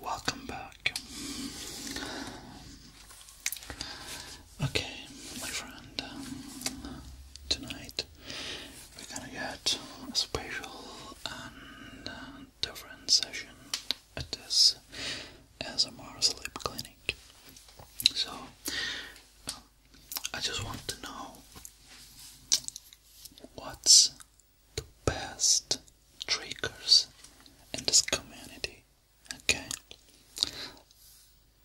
Welcome back. Okay, my friend, um, tonight we're gonna get a special and uh, different session at this ASMR sleep clinic. So, um, I just want to know what's the best triggers in this community. Okay,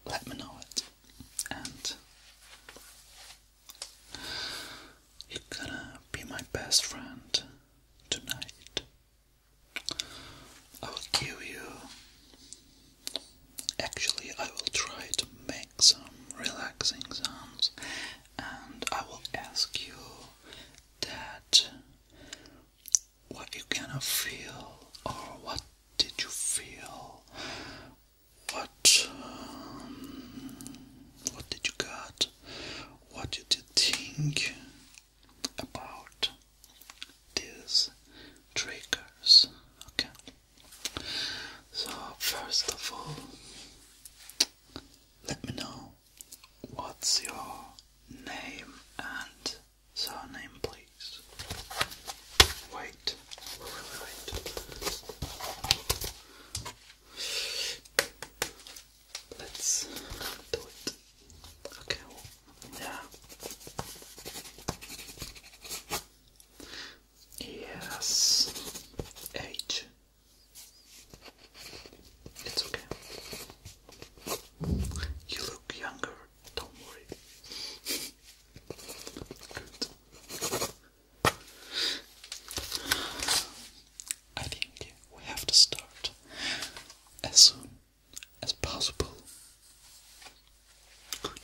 let me know it, and you're gonna be my best friend tonight. I will give you Actually, I will try to make some relaxing sounds and I will ask you that what you gonna feel or what did you feel what um, what did you got what did you think about these triggers okay so, first of all, let me know what's your name and surname, please. Wait, wait. Let's do it. Okay, yeah. Yes. H. It's okay. You look younger, don't worry. Good. I think we have to start as soon as possible. Good.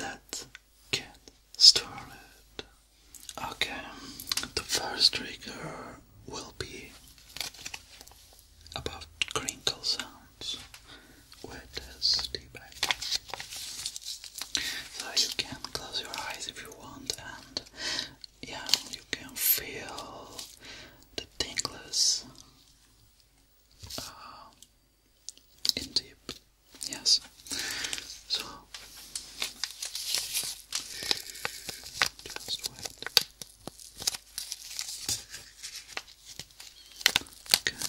Let get started. Okay, the first trigger will be about crinkle sounds with this tea So you can close your eyes if you want, and yeah, you can feel the tingles. Uh, into deep. Yes. So just wait. Okay. Okay. Good.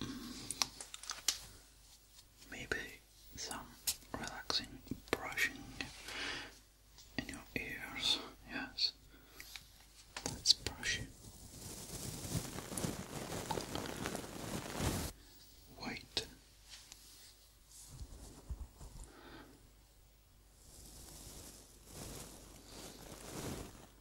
Mm. Maybe some relaxing brushing in your ears. Yes, let's brush it.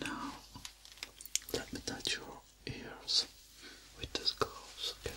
Now, let me touch your ears with this ghost. okay?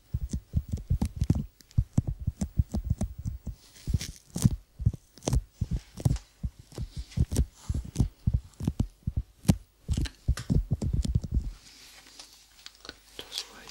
Just wait.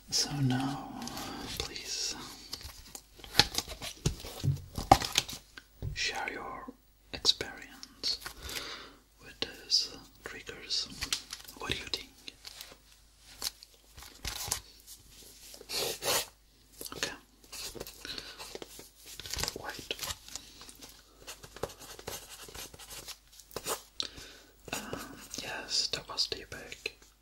So now, please share your experience with these triggers. What do you think? Okay. Wait. Uh, yes, that was the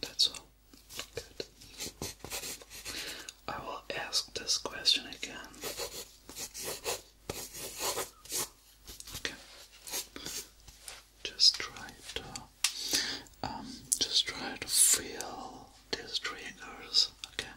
That's all. Good. I will ask this question again. Okay. Just try to um just try to feel these triggers, okay?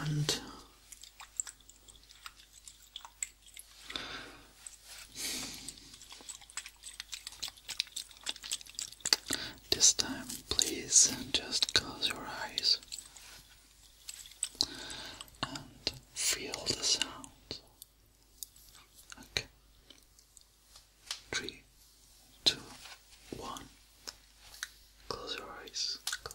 and this time, please just close your eyes and feel the sound. Okay. Three, two, one. Close your eyes. Close.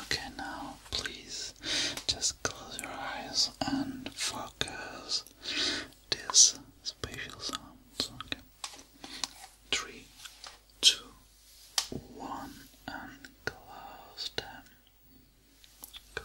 Okay, now please just close your eyes and focus this spatial sound. Okay. Three, two, one, and close them. Good.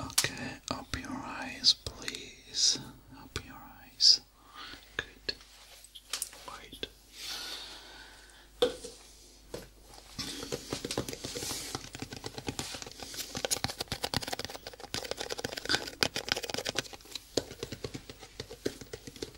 Okay, open your eyes, please. Open your eyes. Good. Wait.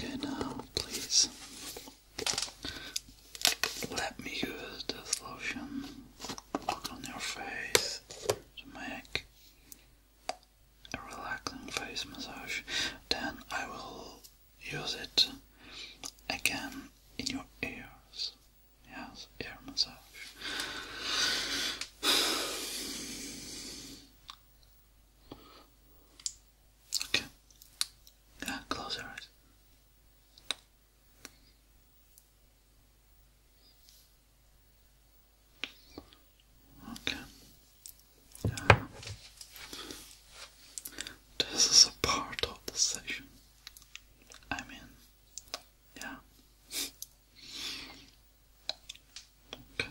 Okay, now please let me use this lotion on your face to make a relaxing face massage. Then I will use it again in your ears. Yes, ear massage. Okay. Yeah, close your eyes. Okay. Yeah. This is a part of the session. I mean, yeah. okay.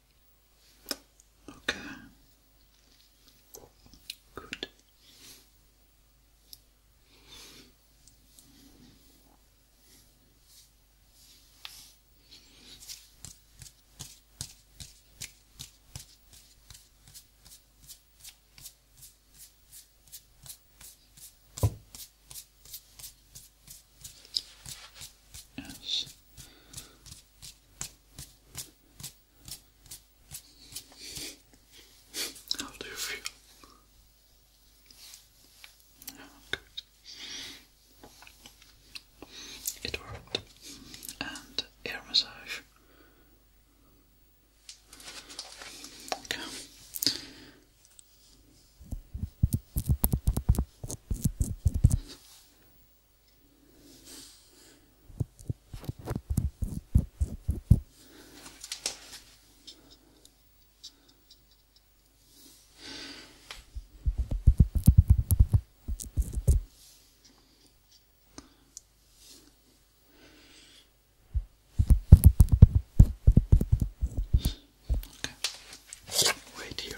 Okay. Good. Yes, how do you feel? It worked. And ear massage. Okay. Okay. Wait here.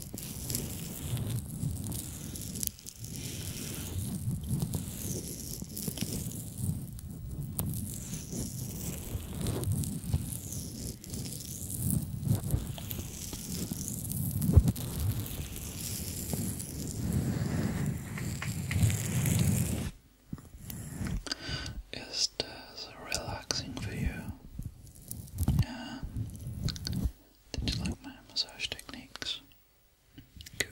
Is this uh, relaxing for you? Yeah. Did you like my massage techniques? Good.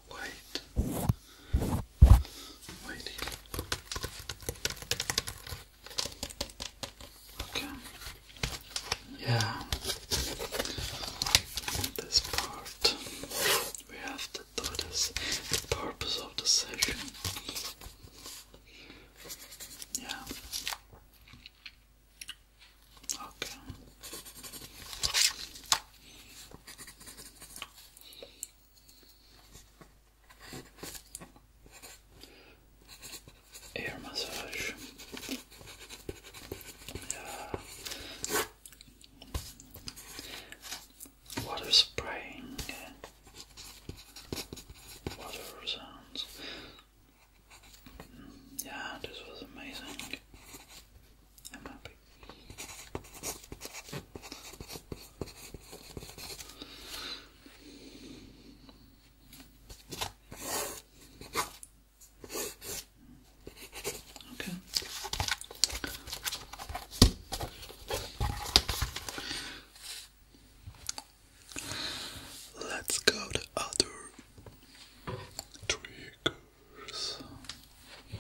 white, white Okay. Yeah. This part we have to do this. purpose of the session. Yeah. Okay. Air massage. Water spraying. Water sounds. Mm, yeah, this was amazing. I'm happy. Okay. Let's go to other triggers.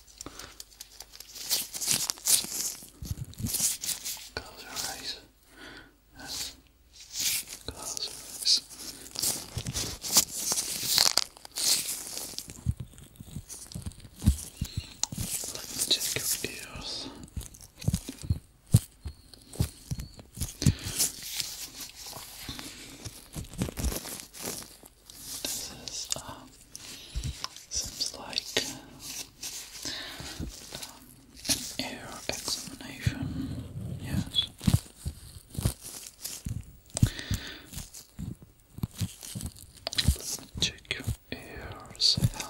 Close your eyes. Yes. Close your eyes. Let your ears. This is, um, seems like an um, air examination, yes. check your ears health.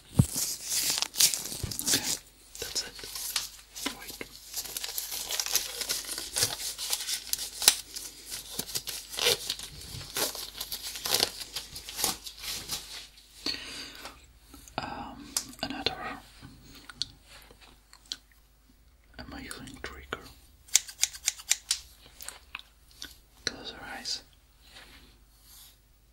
Okay, that's it. Wait. Um, another amazing trigger. Close eyes.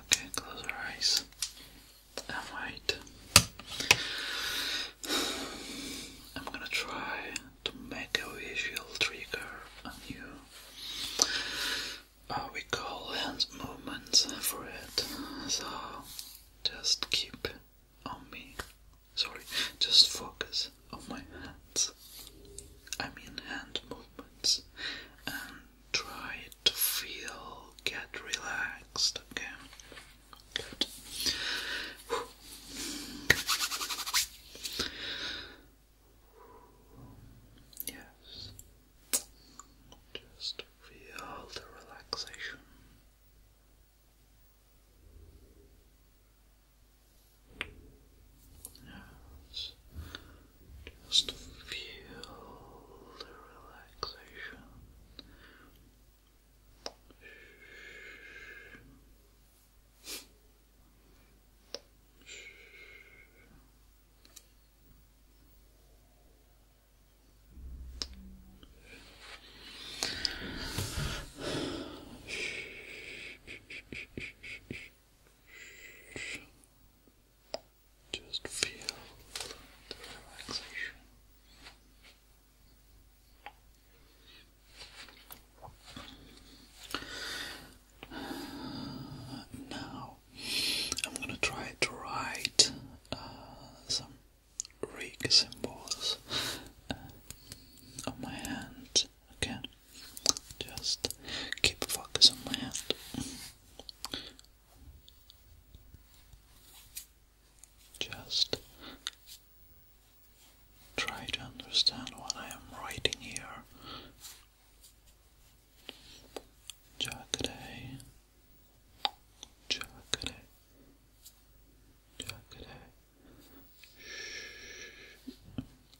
Okay, close your eyes. I'm I'm gonna try to make a visual trigger on you. Uh, we call hand movements for it, so just keep on me sorry, just focus on my hands. I mean hand movements and try to feel, get relaxed, okay? Good. Yes. Just feel the relaxation. Just feel the relaxation. Just feel the relaxation. Now, I'm gonna try to write uh, some Greek symbols uh, on my hand again. Just keep focus on my hand. Just try to understand what I am writing here. Jacare, jacare, jacare.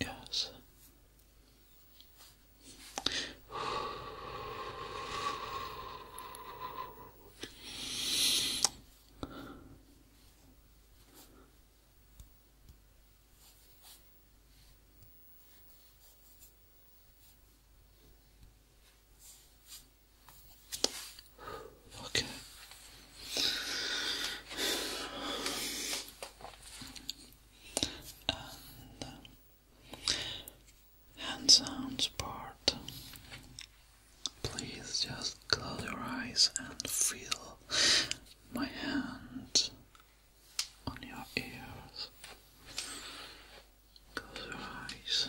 Yes. Okay. And hand sounds part. Please just close your eyes and feel my hand on your ears. Close your eyes.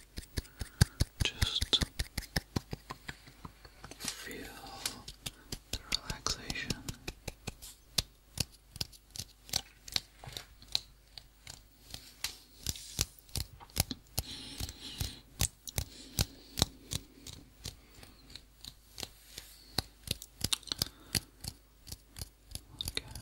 Just feel the relaxation. Okay.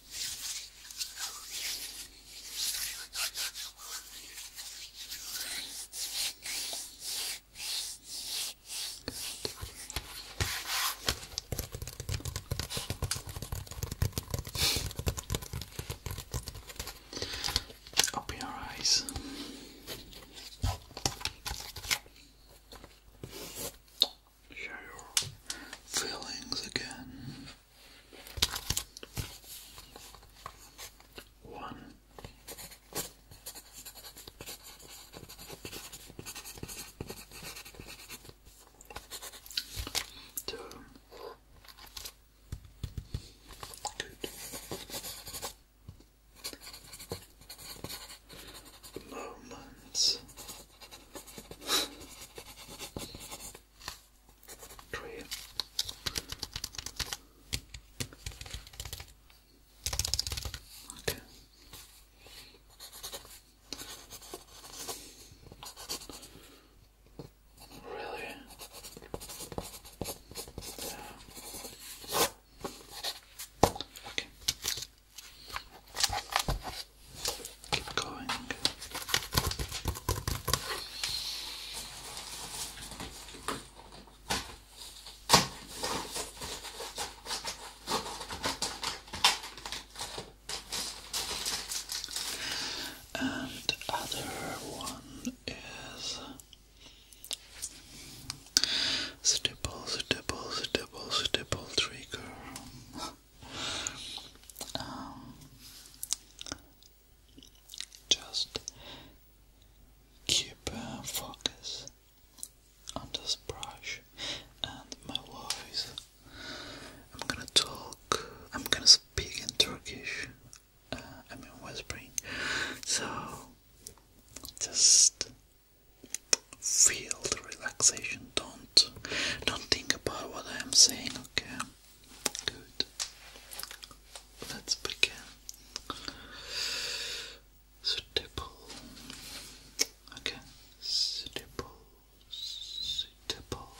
Open your eyes. Share your feelings again. One. Two. Good. Moments tray. Okay. Really? Yeah. Okay. Keep going. And other one is stipple, stipple, stipple, stipple trigger. Um, just keep uh, focus on this brush and my voice. I'm gonna talk, I'm gonna speak in Turkish, uh, I mean whispering, so just feel the relaxation, don't, don't think about what I am saying, okay? Good. Let's begin. Stipple. Okay. Stipple. Stipple.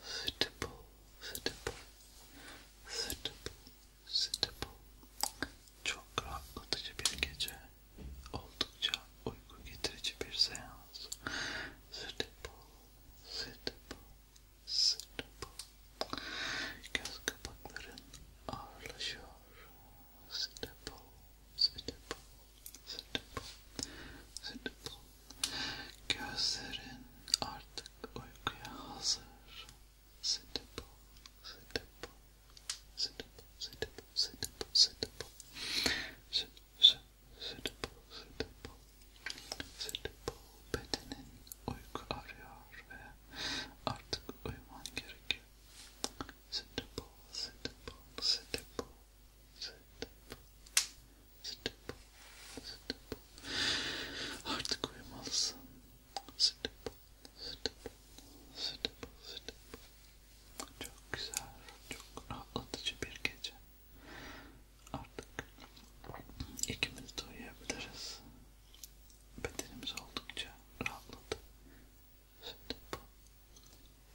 Stipple. Stipple. Stipple. Stipple. Çok rahatlatıcı suitable, suitable. Göz kapakların ağırlaşıyor. Suitable, suitable, suitable, suitable. Gözlerin artık uykuya hazır. Suitable, suitable, suitable, suitable, suitable, suitable. suitable. Sıdıbıl bedenin uyku arıyor ve artık uyuman gerekiyor. Sıdıbıl, sıdıbıl, sıdıbıl, sıdıbıl, sıdıbıl, sıdıbıl. Artık uyumalısın. Sıdıbıl, sıdıbıl, sıdıbıl, sıdıbıl. Çok güzel, çok rahatlatıcı bir gece. Artık ikimiz de uyuyabiliriz. Bedenimiz oldukça rahatladı. Sütüp,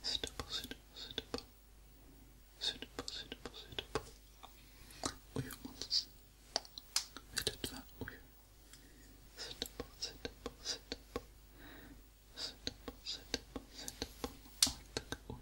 sütüp, sütüp, sütüp, sütüp, sütüp, sütüp. Uyumalısın. Ve lütfen uyu. Sütüp, sütüp, sütüp, sütüp, sütüp, sütüp. Artık uyu.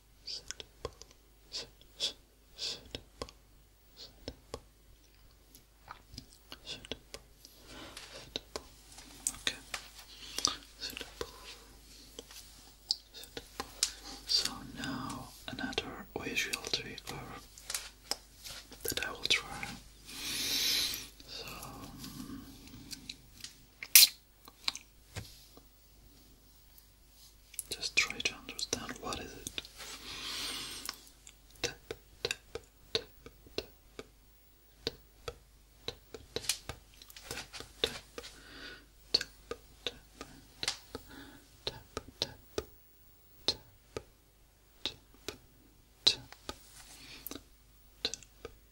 So now another way visual trigger that I will try. Just try to understand what is it. Tap, tap, tap, tap, tap, tap, tap, tap, tap, tap, tap, tap, tap, tap, tap, tap, tap,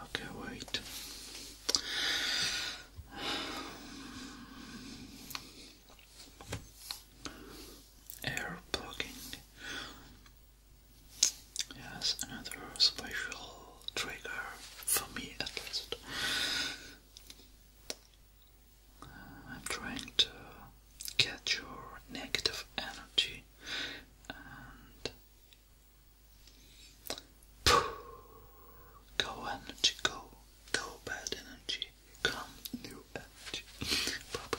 Okay, wait. Air plugging Yes, another special trigger for me at least. Uh, I'm trying to get your negative energy and go energy, go, go bad energy, come new energy, proper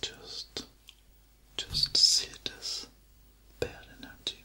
Just just see this bad energy.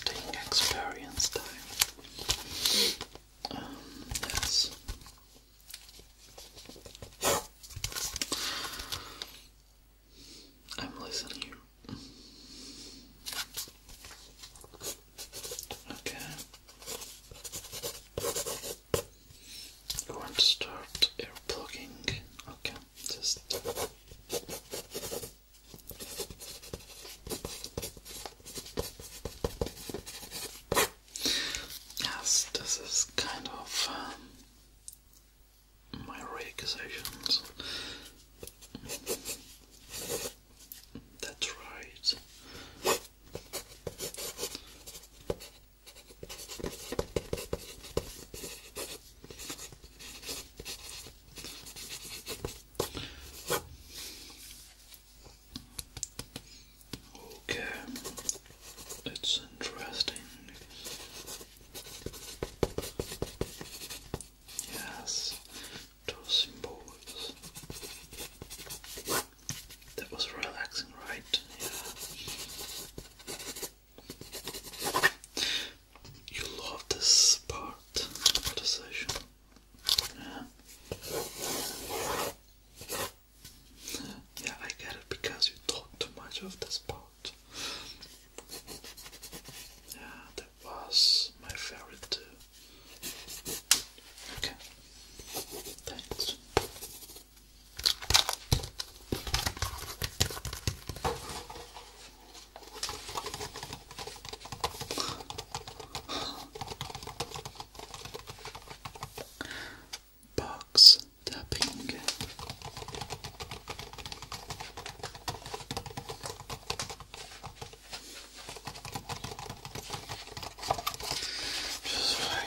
Good. experience time. Um, yes. I'm listening. Okay. You want to start air plugging? Okay, just Yes, this is kind of um, my recusations. That's right. Okay, it's interesting. Yes, tossing balls. That was relaxing, right? Yeah. You love this part of the session. Yeah. yeah, I get it because you talk too much of this part. Yeah, that was my favorite too. Thanks. Box tapping. Just right.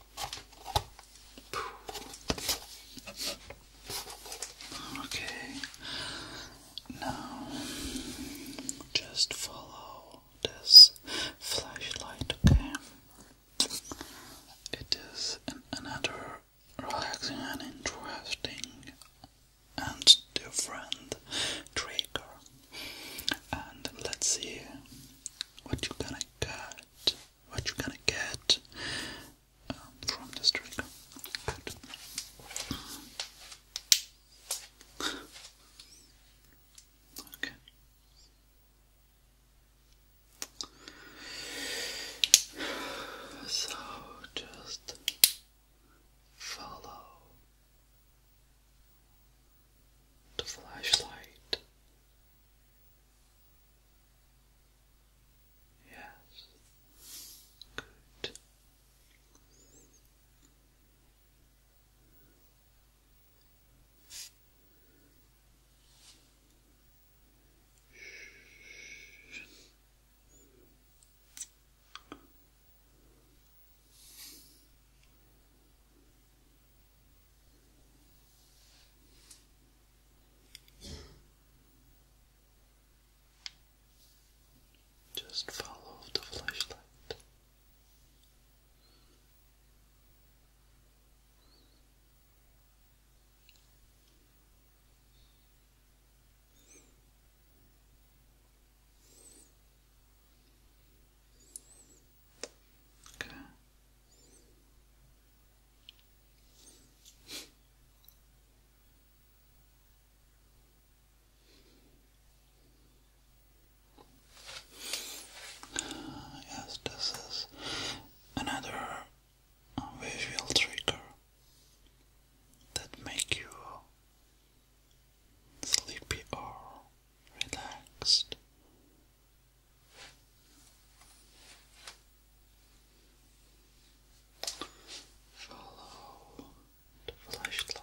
Okay, now just follow this flashlight, okay? It is an another relaxing and interesting and different trigger. And let's see what you gonna get what you gonna get um, from this trick. Okay. So just follow the flashlight Yes. Good. Good. Just follow the flashlight. Okay. Yes, this is another visual trigger that make you sleepy or relaxed Follow the flashlight.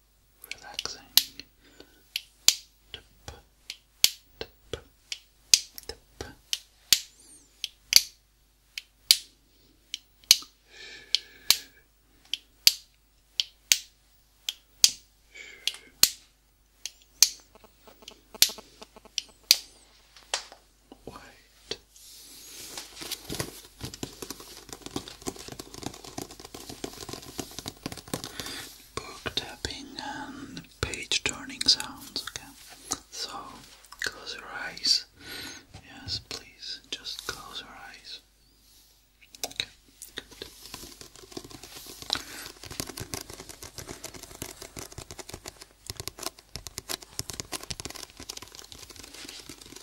relaxing. Tip, tip, tip. White. Book tapping and page turning sounds, okay? So close your eyes. Yes, please, just close your eyes.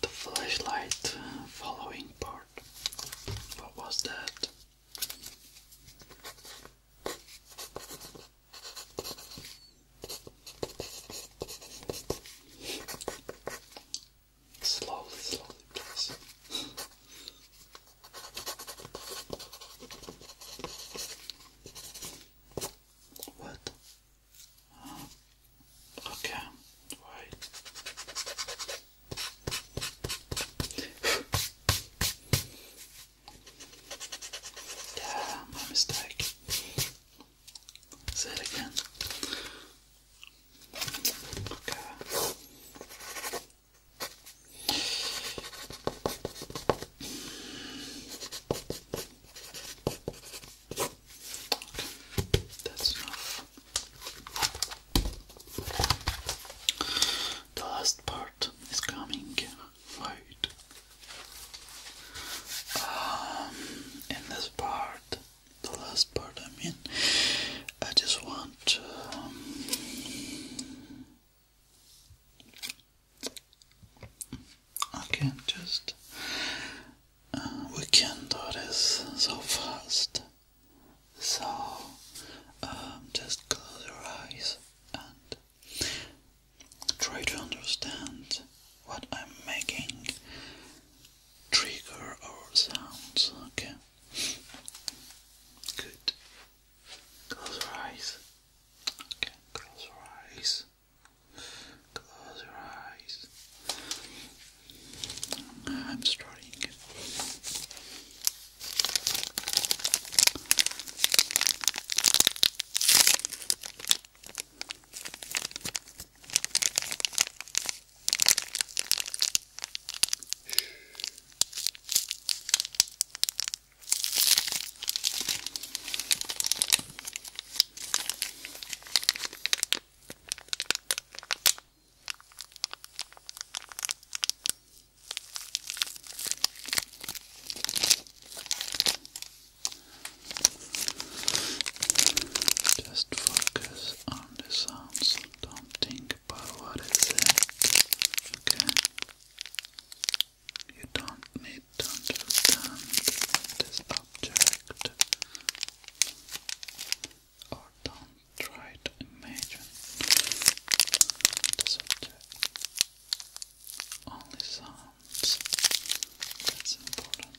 The flashlight following part. What was that? Slowly, slowly, please. What? Okay, wait. yeah, my mistake. Say it again. Okay. That's enough. The last part is coming right. Um, in this part, the last part I mean, I just want um, I can't just uh, we can not do this so fast so um, just close your eyes and try to understand what I'm making trigger or sounds okay Good. Close your eyes. Okay, close your eyes. Close your eyes. I'm starting. Just focus on the sounds, don't think think about what Okay? You don't need to understand this object. Or don't try to imagine this object. Only sounds. That's important.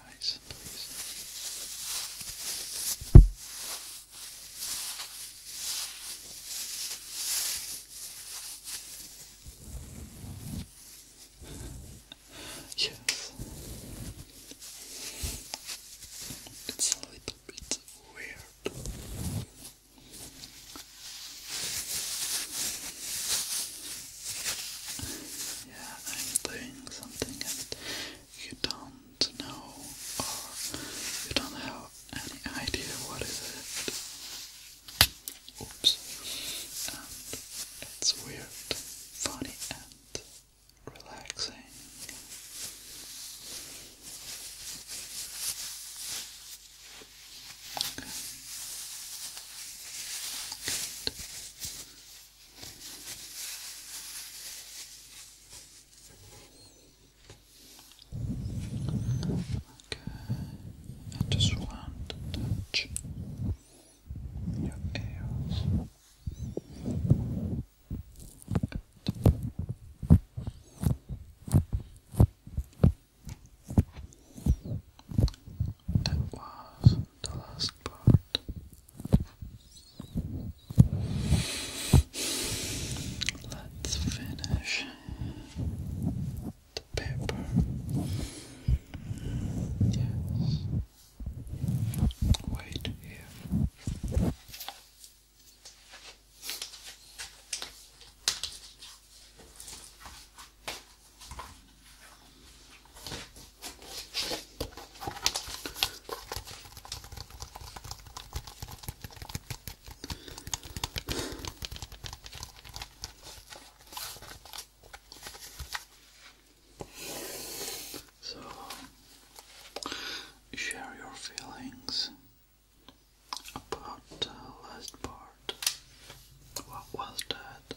eyes, please. yes. It's a little bit weird. Yeah, I'm doing something and you don't know or you don't have any idea what is it. Oops. And it's weird, funny and relaxing. Okay, I just want to touch your ears. That was the last part. Let's finish the Yes. Wait here. So share your feelings about the last part. What was that?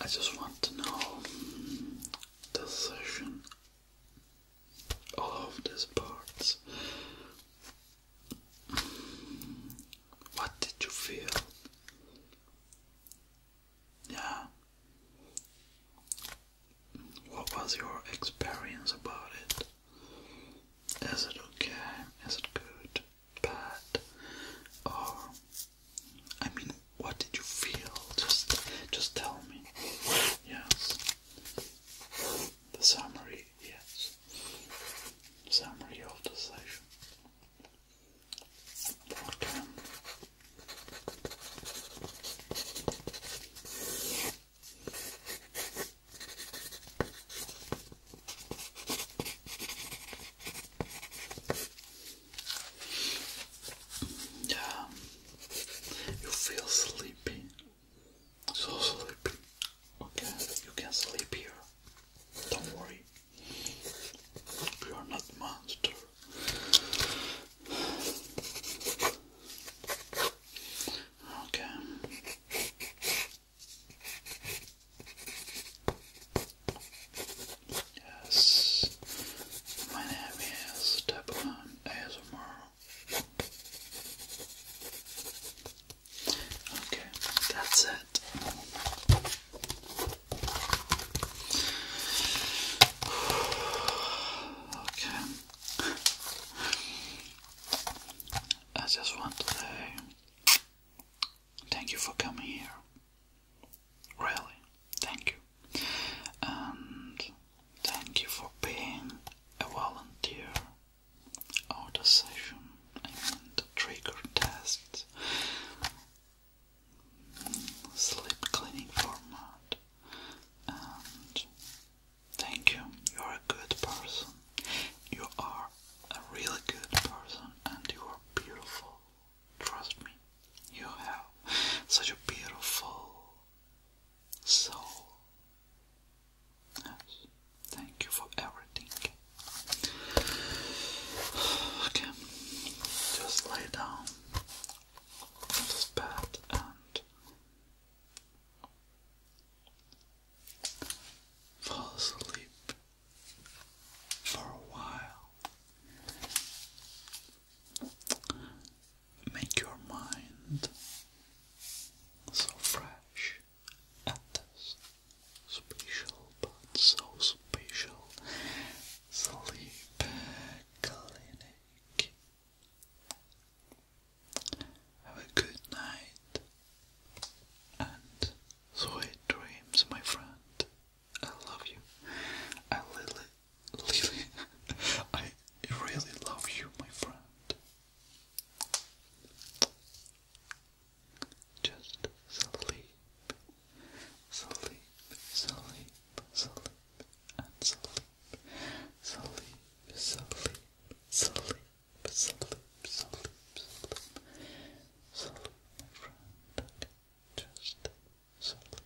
I just want to know mm, the session of these parts. What did you feel? Yeah. What was your experience about it? Is it okay? Is it good? Bad? Or I mean, what did you feel? Just, just tell me. Yes. The summary. Yes. Summary of the session. Yeah, you feel sleepy, so sleepy. Okay, you can sleep here. Don't worry. You are not monster. Okay. Yes. My name is Teppan ASMR. Okay, that's it. Okay. I just want to thank you for coming here. Really, thank you. And thank you for being a volunteer. Our session, I trigger test Sleep cleaning format. And thank you, you're a good person. You are a really good person and you are beautiful. Trust me, you have such a beautiful soul. Yes, thank you for everything. Okay, just lay down on this and fall asleep for a while. Make your mind so fresh at this special but so special sleep clinic. Have a good night and sweet dreams, my friend. I love you. Lily, Lily, I really love you, my friend. Just sleep sleep, sleep, sleep, and sleep, sleep, sleep, sleep, sleep, sleep, sleep, sleep, my friend, just sleep.